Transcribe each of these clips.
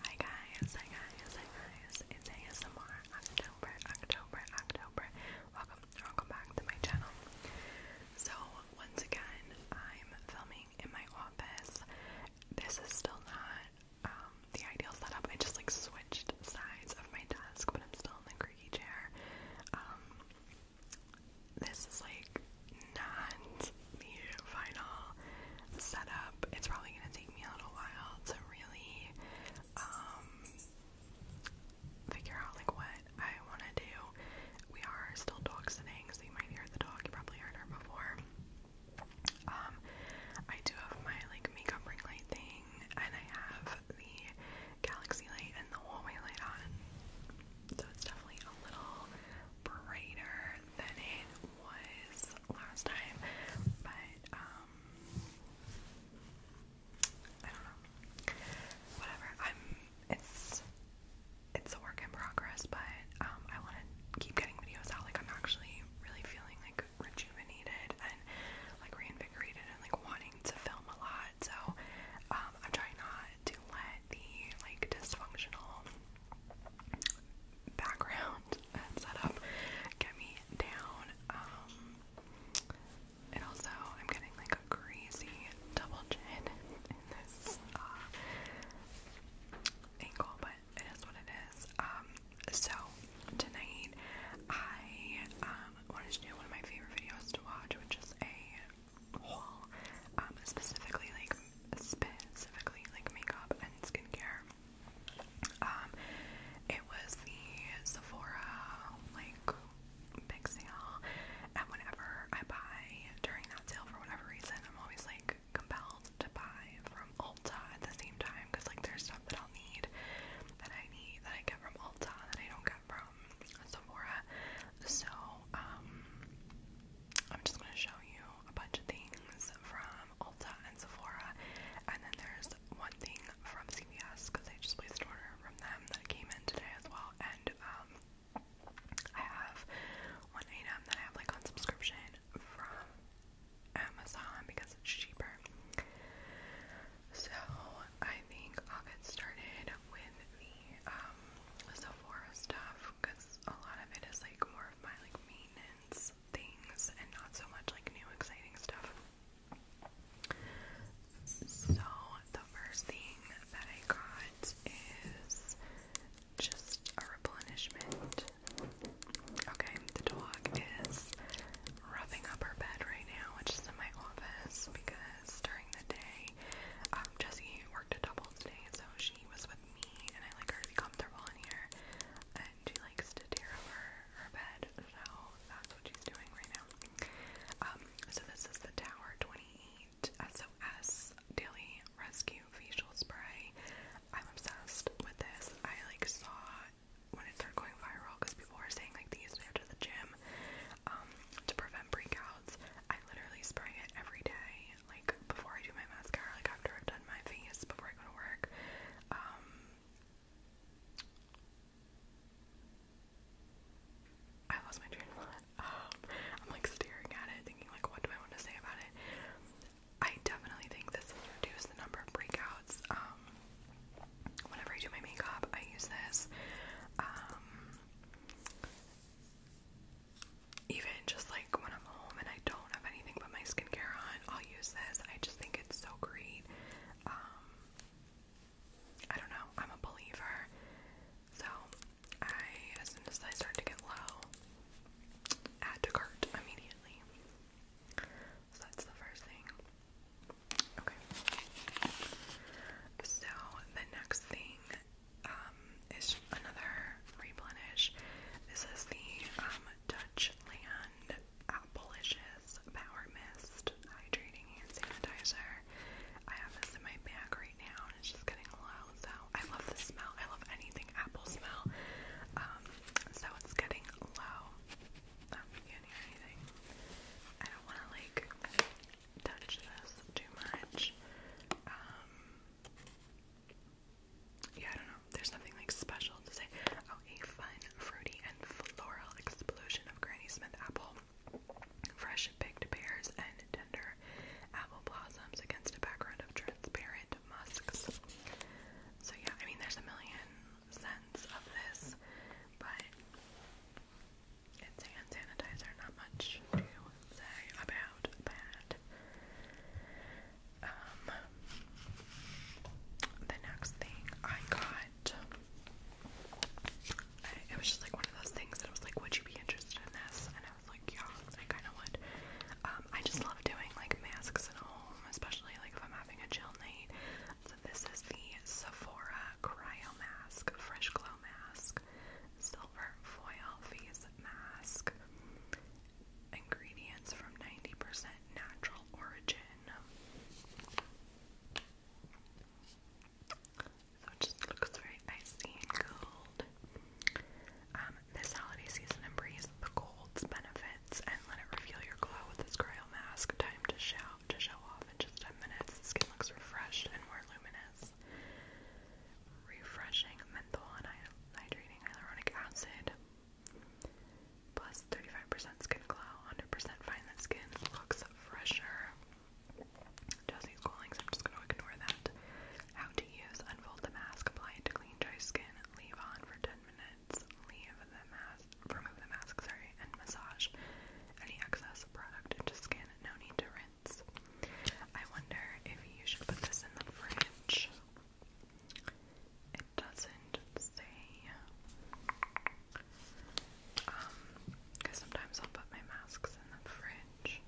Hi guys, hi guys, hi guys, it's ASMR October, October, October. Welcome, welcome back to my channel. So, once again, I'm filming in my office. This is still not um, the ideal setup. I just like switched sides of my desk, but I'm still in the creaky chair. Um, this is like not the final setup. It's probably gonna take me a little while to really um, figure out like what I wanna do. We are still dog sitting, so you might hear the dog, you probably heard her before. Um, I do have my like makeup ring light thing and I have the galaxy light and the hallway light on. So it's definitely a little brighter than it was last time, but um, I don't know. Whatever. I'm. It's it's a work in progress, but um, I want to keep getting videos out. Like I'm actually really feeling like rejuvenated and like reinvigorated and like wanting to film a lot. So um, I'm trying not to let the like dysfunctional background and setup get me down. Um, and also, I'm getting like a crazy double chin in this uh, ankle, but it is what it is. Um, so tonight I um, wanted to do one of my favorite videos to watch, which is a haul, specifically like specifically like makeup and skincare. Um, it was the Sephora like big sale, and whenever I buy during that sale for whatever reason, I'm always like compelled to buy from Ulta at the same time because like there's stuff that I'll need that I need that I get from Ulta that I don't get from Sephora. So um, I'm just gonna show you a bunch of things from Ulta and Sephora, and then there's one thing from CVS because I just placed an order from them that came in today as well. And um, I have one item that I have like on subscription from Amazon because it's cheaper. So I think I'll get started with the um, Sephora stuff because a lot of it is like more of my like maintenance things and not so much like new exciting stuff. So the first thing that I got is just a replenishment. Okay, the dog is roughing up her bed right now, which is in my office because during the day, um, Jessie worked a double today, so she was with me and I like her to be comfortable in here and she likes to tear over her bed so that's what she's doing right now. Um, so this is the Tower 28 SOS Daily Rescue Facial Spray. I'm obsessed with this. I like saw when it started going viral because people were saying like these after the gym um, to prevent breakouts. I literally spray it every day like before I do my mascara, like after I've done my face, before I go to work. Um, I lost my train um, I'm like staring at it, thinking like, what do I want to say about it? I definitely think this will reduce the number of breakouts. Um, whenever I do my makeup, I use this even just like when I'm home and I don't have anything but my skincare on, I'll use this. I just think it's so great. Um, I don't know, I'm a believer. So I, as soon as I start to get low, add to cart immediately. So that's the first thing. Okay. So the next thing um, is another replenish. This is the um, Dutchland Appleicious Power Mist Hydrating Hand Sanitizer. I have this in my bag right now and it's just getting low, so I love the smell. I love anything apple smell. Um, so it's getting low. Um, you can't hear anything. I don't want to like touch this too much. Um, yeah, I don't know. There's nothing like special to say. Oh, a fun, fruity, and floral explosion of Granny Smith apple, fresh picked pears, and tender apple blossoms against a background of transparent musks. So yeah, I mean, there's a million scents of this, but it's hand sanitizer, not much say about that. Um, the next thing I got, it was just like one of those things that I was like, would you be interested in this? And I was like, yeah, I kind of would. Um, I just love doing like masks at home, especially like if I'm having a chill night. So this is the Sephora Cryo Mask, Fresh Glow Mask. So silver foil face mask. Ingredients from 90% natural origin. So it just looks very icy and cold. Um, this holiday season, embrace the cold's benefits and let it reveal your glow with this cryo mask. Time to shout to show off in just 10 minutes. The skin looks refreshed and more luminous refreshing menthol and hydrating hyaluronic acid. Plus 35% skin glow, 100% fine that skin looks fresher. Jesse's calling, so I'm just gonna ignore that. How to use, unfold the mask, apply to clean dry skin, leave on for 10 minutes, leave the mask, remove the mask, sorry, and massage any excess product into skin. No need to rinse minutes. I wonder if you should put this in the fridge. It doesn't say. Um, because sometimes I'll put my masks in the fridge.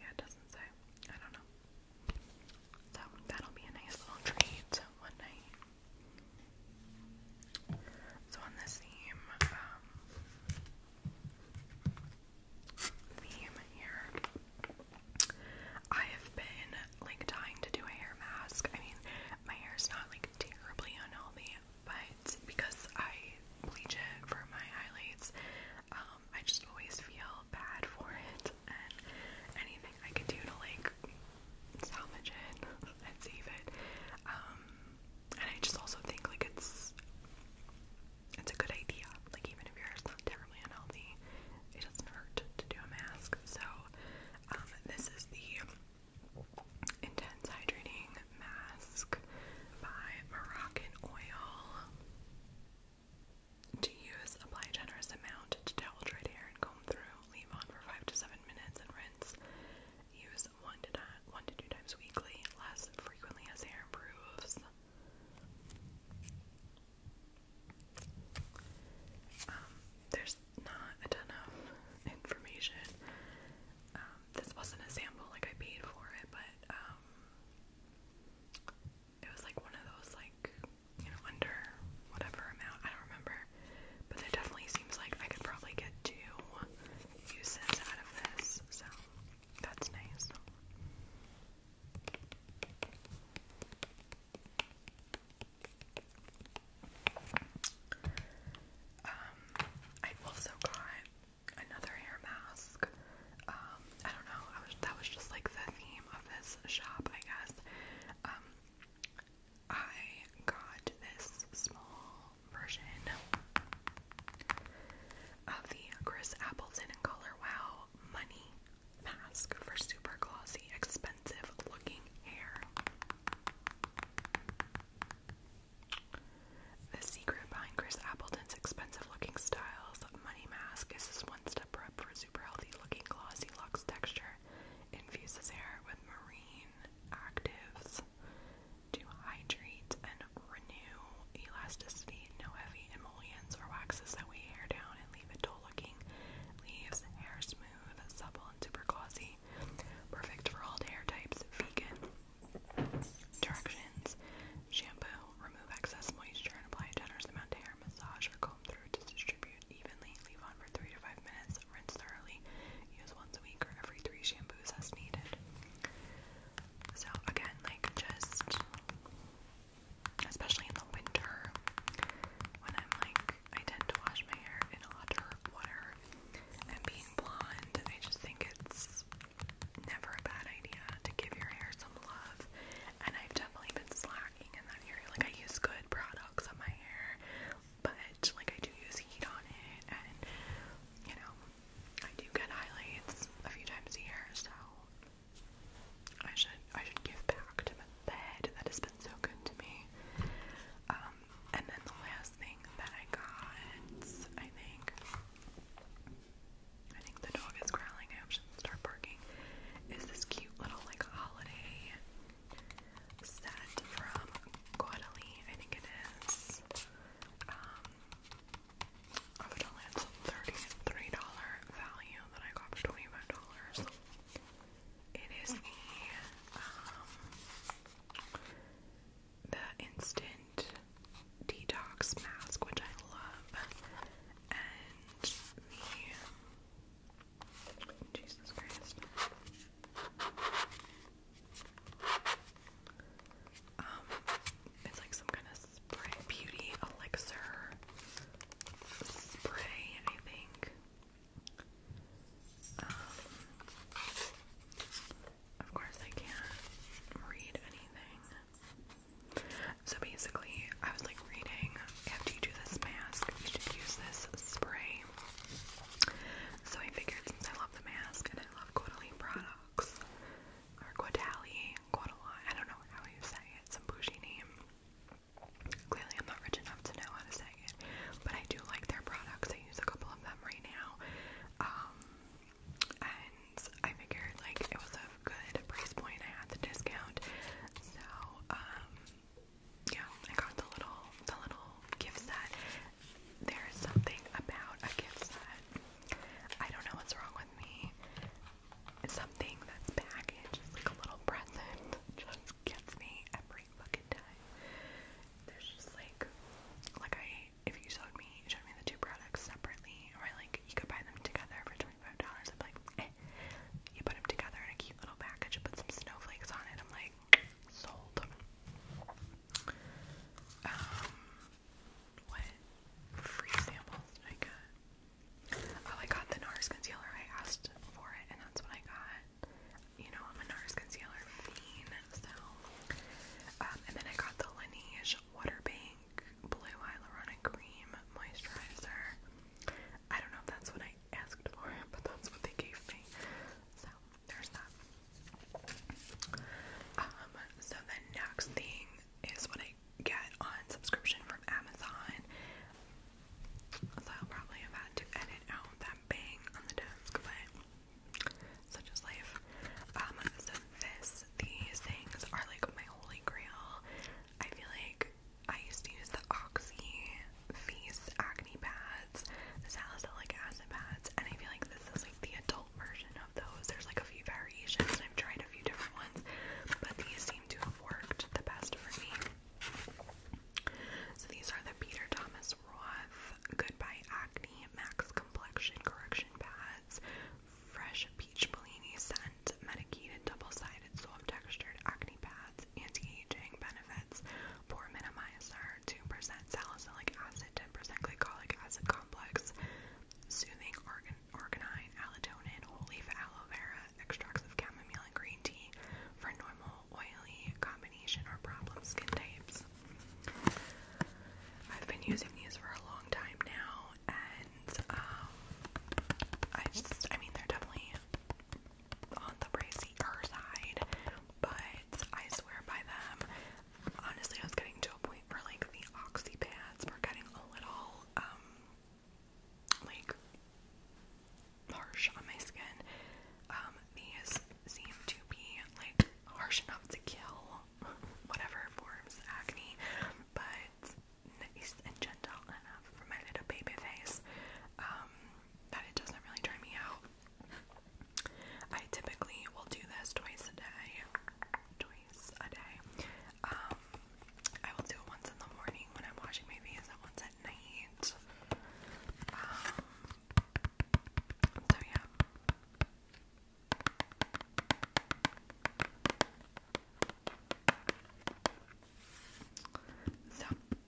Yeah, it doesn't say. I don't know. So that'll be a nice little treat one night. So on this theme, um, theme here, I have been like dying to do a hair mask. I mean, my hair is not like terribly unhealthy, but because I bleach it for my highlights, um, I just always feel bad for it, and anything I can do to like salvage it and save it, um, and I just also think like it's it's a good idea. Like even if your hair's not terribly unhealthy, it doesn't hurt to do a mask. So um, this is the Intense Hydrating Mask by Moroccan Oil. To use, apply a generous amount to towel dried hair and comb through. Leave on for 5 to 7 minutes and rinse. Use practice one to, one to two times weekly, less frequently as hair improves. Um, there's not a ton of information. Um, this wasn't a sample, like I paid for it, but um, it was like one of those, like, you know, under whatever amount, I don't remember but it definitely seems like I could probably get two uses out of this, so that's nice. Um, I also got another hair mask. Um, I don't know, that was just like the theme of this shop, I guess. Um, I got this small version of the Chris Appleton Color Wow Money Mask for super glossy, expensive looking hair. The secret behind Chris Appleton's expensive looking styles money mask is this one step prep for super healthy looking glossy luxe texture. Infuses hair with marine actives to hydrate and renew elasticity. No heavy emollients or waxes that weigh hair down and leave it dull looking. Leaves hair smooth, supple, and super glossy. Perfect for all hair types. Vegan. Directions. Shampoo. Remove excess moisture and apply a generous amount to hair. Massage or comb through to distribute evenly. Leave on for 3 to 5 minutes. Rinse thoroughly. Use once a week or every three shampoos as needed. So again, like just especially in the winter when I'm like I tend to wash my hair in a lot of water and being blonde, I just think it's never a bad idea to give your hair some love. And I've definitely been slacking in that area. Like I use good products on my hair but like I do use heat on it, and you know, I do get highlights a few times a year, so I should I should give back to the head that has been so good to me. Um, and then the last thing that I got, I think, I think the dog is growling. I should start barking. Is this cute little like holiday set from Guadaline, I think it is. Um, of a $33 value that I got for $25. It is the, um, the instant detox mask, which I love, and the Jesus Christ. Um, it's like some kind of spray, beauty elixir spray, I think. Um, of course I can't read anything. So basically, I was like reading, after you do this mask, you should use this spray. So I figured since I love the mask and I love Guadaline products, or Guadali, Guadaline, I don't know how you say it, some bougie name. Clearly I'm not rich enough to know how to say it, but I do like their products. I use a couple of them right now. Um, and I figured like it was a good price point. I had the discount. So, um, yeah, I got the little the little gift set. There's something about a gift set. I don't know what's wrong with me. Something that's packaged is like a little present. Just gets me every fucking time. There's just like like I if you showed me showed me the two products separately or like you could buy them together for twenty five dollars, I'd like eh. You put them together in a cute little package, put some snowflakes on it, I'm like like sold. Um, what free samples did I get? Oh, I got the NARS concealer. I asked for it, and that's what I got. You know, I'm a NARS concealer fiend, so. Um, and then I got the Laneige Waterbank Blue Hyaluronic Cream Moisturizer. I don't know if that's what I asked for, but that's what they gave me. So there's that. Um, so the next thing is what I get on subscription from Amazon. So I'll probably have to edit out that bang on the desk, but such is life. Um, so this, these things are like my holy grail. I feel like I used to use the Oxy Feast acne pads, the salicylic acid pads, and I feel like this is like the adult version of those. There's like a few variations, and I've tried a few different ones, but these seem to have worked the best for me. So these are the Peter Thomas Roth Goodbye Acne Max Complexion Correction Pads, Fresh Peach Bellini Scent, Medicated Double Sided Soft Textured Acne Pads anti-aging benefits, poor minimizer, 2% salicylic acid, 10% glycolic acid complex, soothing organ arginine, allotonin, whole leaf aloe vera, extracts of chamomile and green tea for normal, oily, combination or problem skin types. I've been using these for a long time now, and um, I just, I mean, they're definitely on the brazier side, but I swear by them. Honestly, I was getting to a point where like the oxy were getting a little um like harsh on my skin. Um, these seem to be like harsh enough to kill whatever forms acne, but nice and gentle enough for my little baby face. Um, that it doesn't really dry me out. I typically will do this twice a day. Twice a day. Um, I will do it once in the morning when I'm washing my face and once at night. Um, so yeah. So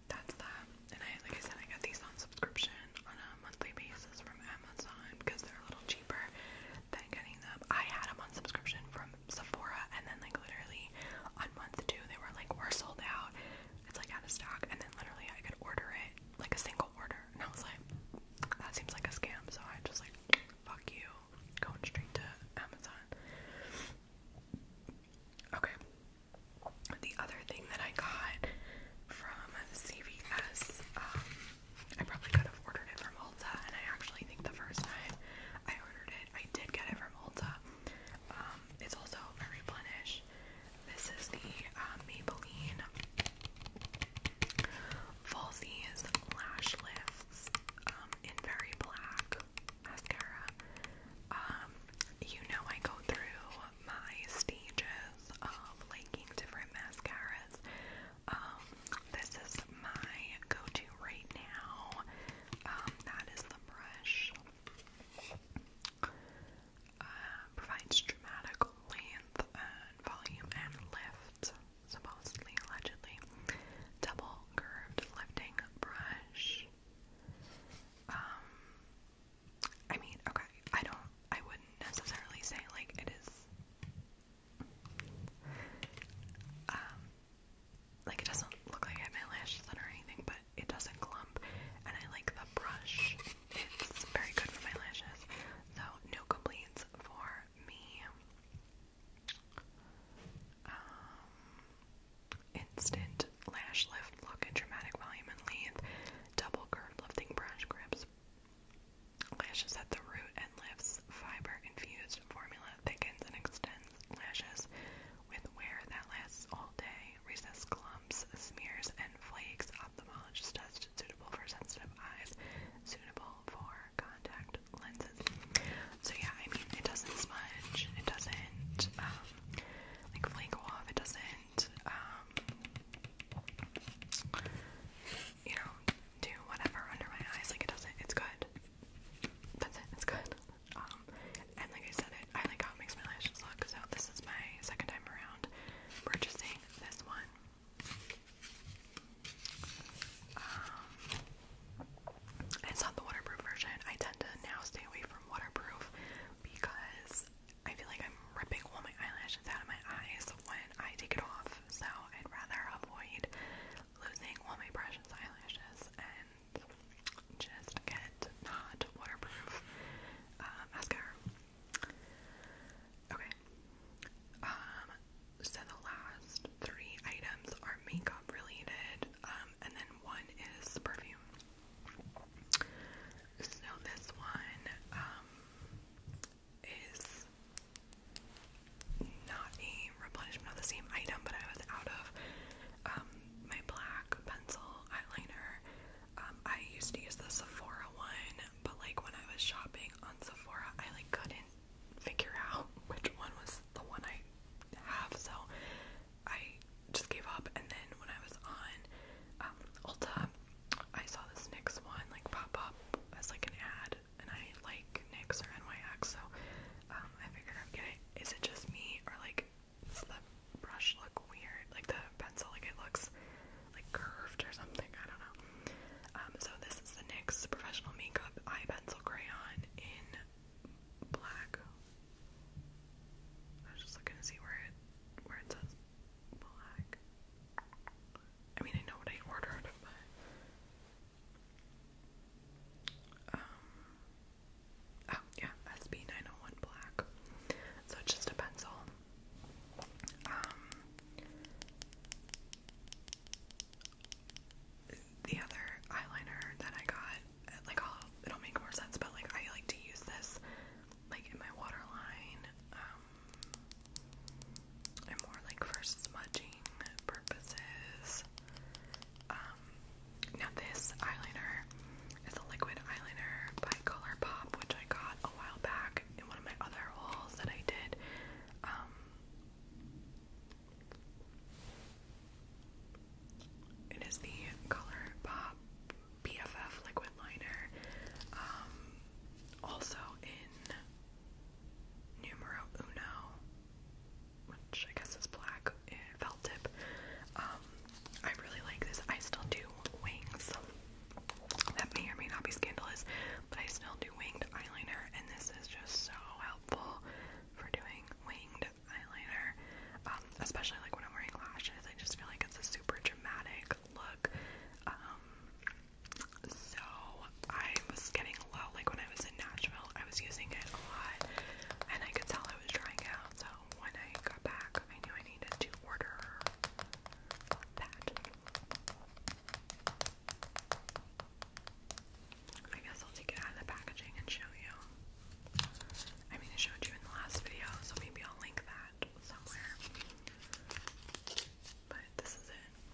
that's that. And I, like I said, I got these on subscription on a monthly basis from Amazon because they're a little cheaper than getting them. I had them on subscription from Sephora, and then like literally on month two they were like we're sold out. It's like out of stock, and then literally I could order it like a single order, and I was like, that seems like a scam. So I just like, fuck you, going straight to Amazon. Okay, the other thing that I got from CVS, um, I probably could have ordered it from Ulta, and I actually think the first time I ordered it, I did get it from Ulta. Um, it's also a replenish. This is the uh, Maybelline Falsies Lash Lifts um, in Very Black mascara. Um, you know I go through my stages of liking different mascaras. Um, this is my go-to right now. Um, that is the brush. Uh, provides dramatic length and volume and lift, supposedly, allegedly. Double curved lifting brush. Um, I mean, okay, I don't, I wouldn't necessarily say like it is, um, like it doesn't look like I have my lashes on or anything, but it doesn't clump, and I like the brush. It's very good for my lashes, so no complaints for me. Um, Instant lash lift look and dramatic volume and length. Double curved lifting brush grips. Lashes at the root and lifts fiber infused formula thickens and extends lashes with wear that lasts all day. Recess clumps, smears, and flakes. Ophthalmologist tested. suitable for sensitive eyes. Suitable for contact lenses. So yeah, I mean it doesn't smudge. It doesn't um, like flake off. It doesn't, um, you know, do whatever under my eyes. Like it doesn't. It's good. That's it. It's good. Um, and like I said, it. I like how it makes my lashes look. So this is my second time around purchasing this one. Um, it's not the waterproof version. I tend to now stay away from waterproof because I feel like I'm ripping all my eyelashes out of my eyes when I take it off. So I'd rather avoid losing all my precious eyelashes and just get not waterproof uh, mascara. Okay. Um, so the last three items are makeup related, um, and then one is perfume. So this one um, is not a replenishment of the same item, but I was out of um, my black pencil eyeliner. Um, I used to use the Sephora one, but like when I was shopping on Sephora, I like couldn't figure out which one was the one I have, so I just gave up. And then when I was on um, Ulta, I saw this NYX one like pop up as like an ad, and I like NYX so um, I figured I'd it just me or like does the brush look weird? Like the pencil, like it looks like curved or something. I don't know. Um, so this is the NYX Professional Makeup Eye Pencil Crayon in black. I was just looking to see where it where it says black. I mean, I know what I ordered, but um, oh yeah, SB nine hundred oh one black. So it's just a pencil. Um, the other eyeliner that I got, like it'll make more sense, but like I like to use this like in my waterline, and um, more like for smudging purposes. Um, now this eyeliner is a liquid eyeliner by ColourPop, which I got a while back in one of my other hauls that I did. Um, it is the Color PFF Liquid Liner, um, also in Numero Uno, which I guess is black, eh, felt tip. Um, I really like this. I still do wings. That may or may not be scandalous, but I still do winged eyeliner, and this is just so helpful for doing winged eyeliner, um, especially like when I'm wearing lashes. I just feel like it's a super dramatic look. Um, so I was getting low. Like when I was in Nashville, I was using it a lot, and I could tell I was drying out. So when I got back, I knew I needed to order that. I guess I'll take it out of the packaging and show you. I mean, I showed you in the last video, so maybe I'll link that somewhere. But this is it.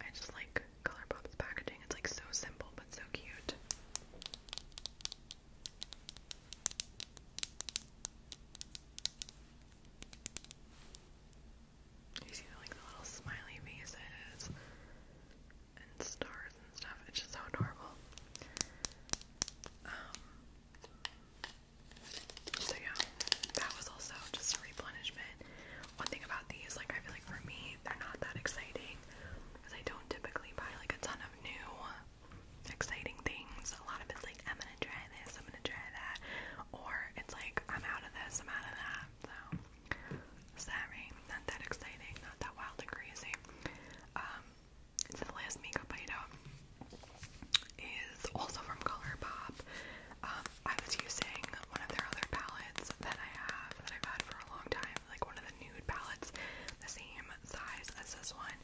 I just like ColourPop's packaging. It's like so simple, but so cute. You see like the little smiley faces and stars and stuff. It's just so adorable. Um so yeah, that was also just a replenishment. One thing about these, like I feel like for me, they're not that exciting because I don't typically buy like a ton of new exciting things. A lot of it's like I'm gonna try this, I'm gonna try that, or it's like I'm out of this, I'm out of that so sorry, not that exciting, not that wild and crazy. Um, the last makeup item is also from Color Pop. Um, I was using one of their other palettes that I have that I've had for a long time, like one of the nude palettes, the same size as this one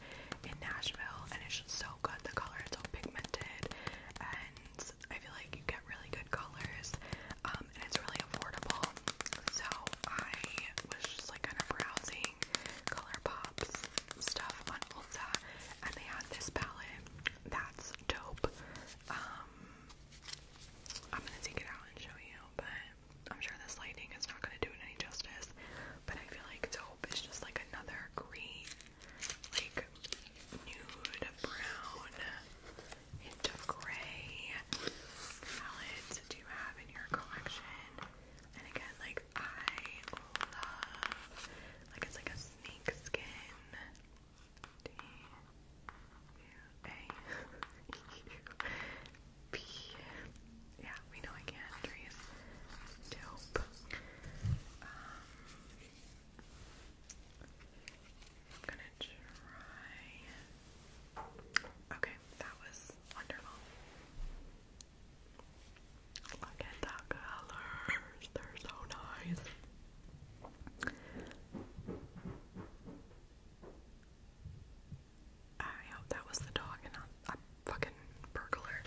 in Nashville, and it's just so good. The color is so pigmented and I feel like you get really good colors, um, and it's really affordable. So I was just like kind of browsing ColourPop's stuff on Ulta, and they had this palette that's dope. Um, I'm gonna take it out and show you, but I'm sure this lighting is not gonna do it any justice. But I feel like dope is just like another green, like nude brown into gray palettes do you have in your collection? And again, like I love, like it's like a snake Yeah, we know I can't Dope. I'm gonna try. Okay, that was wonderful. Look at the colors, they're so nice. I hope that was the dog and not a fucking burglar.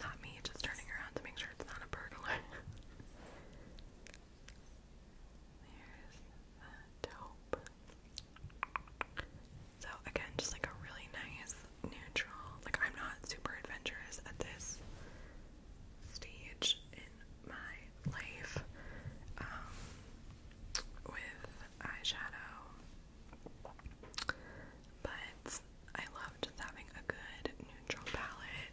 Not me just turning around to make sure it's not a burglar. There's the taupe. So again, just like a really nice neutral. Like I'm not super adventurous at this stage in my life. Um, with eyeshadow. But I loved having a good neutral palette.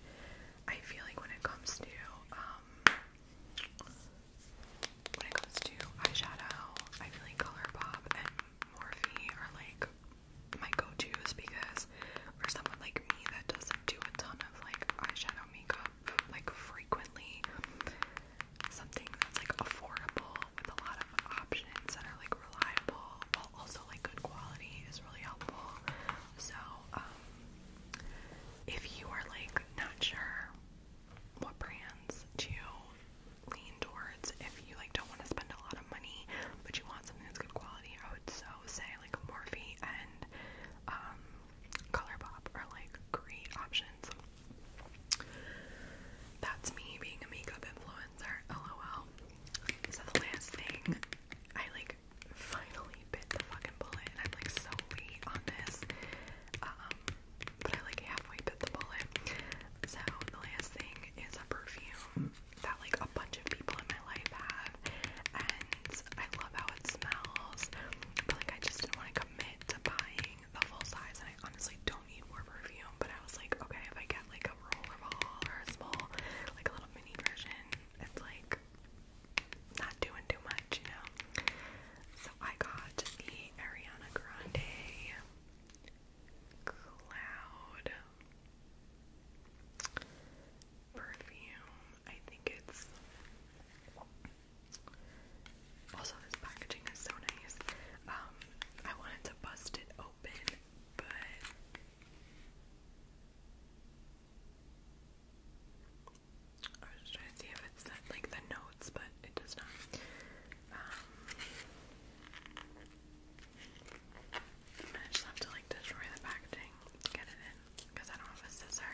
I feel like when it comes to um, when it comes to eyeshadow, I feel like ColourPop and Morphe are like my go-to's because for someone like me that doesn't do a ton of like eyeshadow makeup like frequently, something that's like affordable with a lot of options that are like reliable but also like good quality is really helpful. So, um, if you are like not sure what brands to lean towards, if you like don't want to spend a lot of money but you want something that's good quality, I would so say like Morphe and um, Color Pop are like great options. That's me being a makeup influencer, lol. So the last thing I like finally bit the fucking bullet and I'm like so late on this. Um, but I like halfway bit the bullet. So the last thing is a perfume that like a bunch of people in my life have and I love how it smells. But like I just didn't want to commit to buying the full size and I honestly don't need more perfume, but I was like, okay, if I get like a roll of or a small, like a little mini version, it's like not doing too much, you know. So I got the Ariana Grande Cloud perfume. I think it's also this packaging is so nice. Um, I wanted to bust it open, but I was just trying to see if it's like the notes, but it does not. Um, I just have to like destroy the packaging to get it in because I don't have a scissor.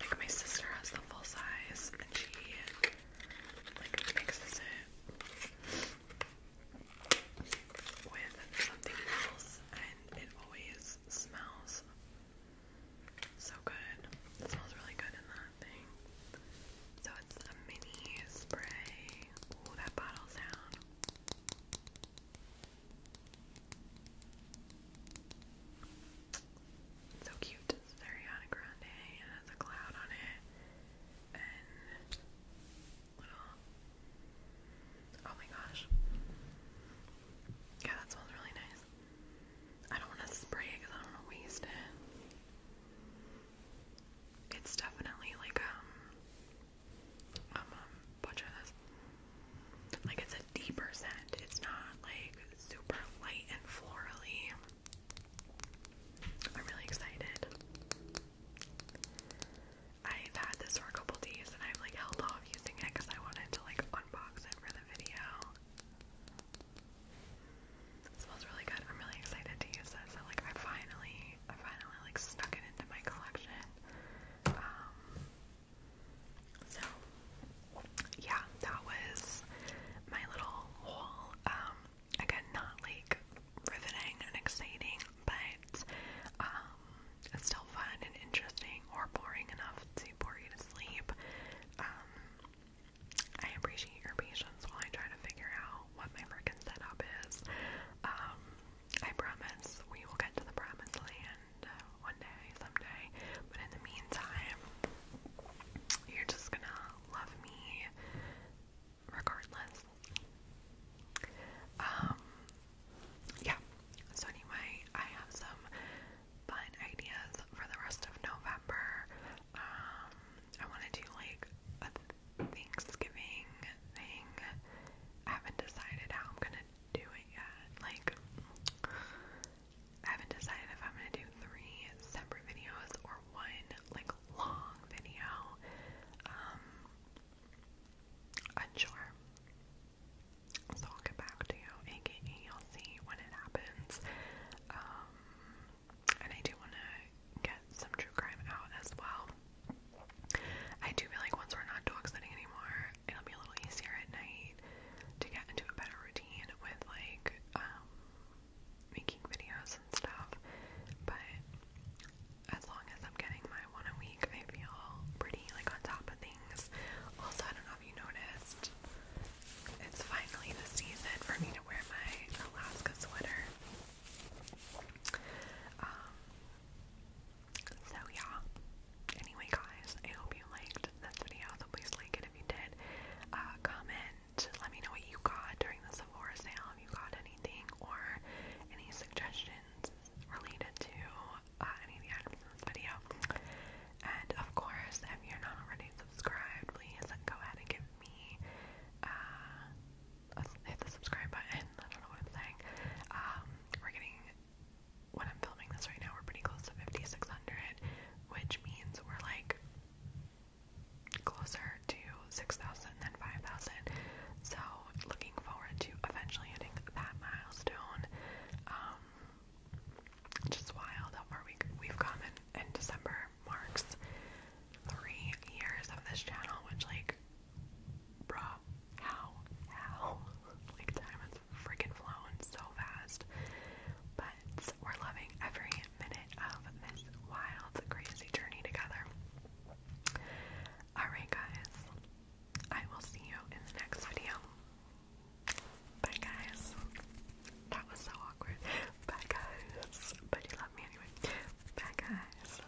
Like my sister has the full size and she like mixes it with something else and it always smells so good. It smells really good in that thing. So it's a mini spray. Ooh, that bottle sound. So cute. It's Ariana Grande and has a cloud on it. And little Oh my gosh. Yeah, that smells really nice. I don't want to spray it because I don't want to waste it. It's definitely like um I'm um, um, Like it's a deeper scent. It's not like super light and florally. I'm really excited. I've had this for a couple days and I've like held off using it because I wanted to like unbox it for the video. smells really good. I'm really excited to use this. I like I finally I finally like snuck it into my collection. Um so, yeah, that was my little haul. Um, again, not like riveting and exciting, but um, it's still fun and interesting or boring enough to bore you to sleep. Um, I appreciate your patience while I try to figure out what my freaking setup is. Um, I promise we will get to the promised land uh, one day, someday. But in the meantime, you're just gonna love me regardless. Um, yeah. So, anyway, I have some fun ideas for the rest of November. Um, I want to do like a Thanksgiving thing. I haven't decided how I'm gonna doing it. Like, I haven't decided if I'm gonna do three separate videos or one like long video. Um, unsure. So I'll get back to you, aka I'll see when it happens. Um, and I do want to get some true crime out as well. I do feel like once we're not dog sitting anymore, it'll be a little easier at night to get into a better routine with like um making videos and stuff. But as long as I'm getting my one a week, I feel pretty like on top of things. Also, I don't know if you noticed, it's finally the season for me to wear my Alaska sweater. Um, so yeah. Anyway guys, I hope you liked this video, so please like it if you did. Uh, comment, let me know what you got during the Sephora sale, if you got anything, or any suggestions related to uh, any of the items in this video. And of course, if you're not already subscribed, please go ahead and give me, uh, hit the subscribe button, I don't know what I'm saying. Um, we're getting when I'm filming this right now, we're pretty close to 5,600, which means we're like closer to 6,000 than 5,000. So, looking forward to eventually hitting that milestone. Um, just wild how far we, we've come, and, December marks three years of this channel, which, like, Bruh, how? How? Like, time has freaking flown so fast. But we're loving every minute of this wild, crazy journey together. Alright, guys. I will see you in the next video. Bye, guys. That was so awkward. Bye, guys. But you love me anyway. Bye, guys.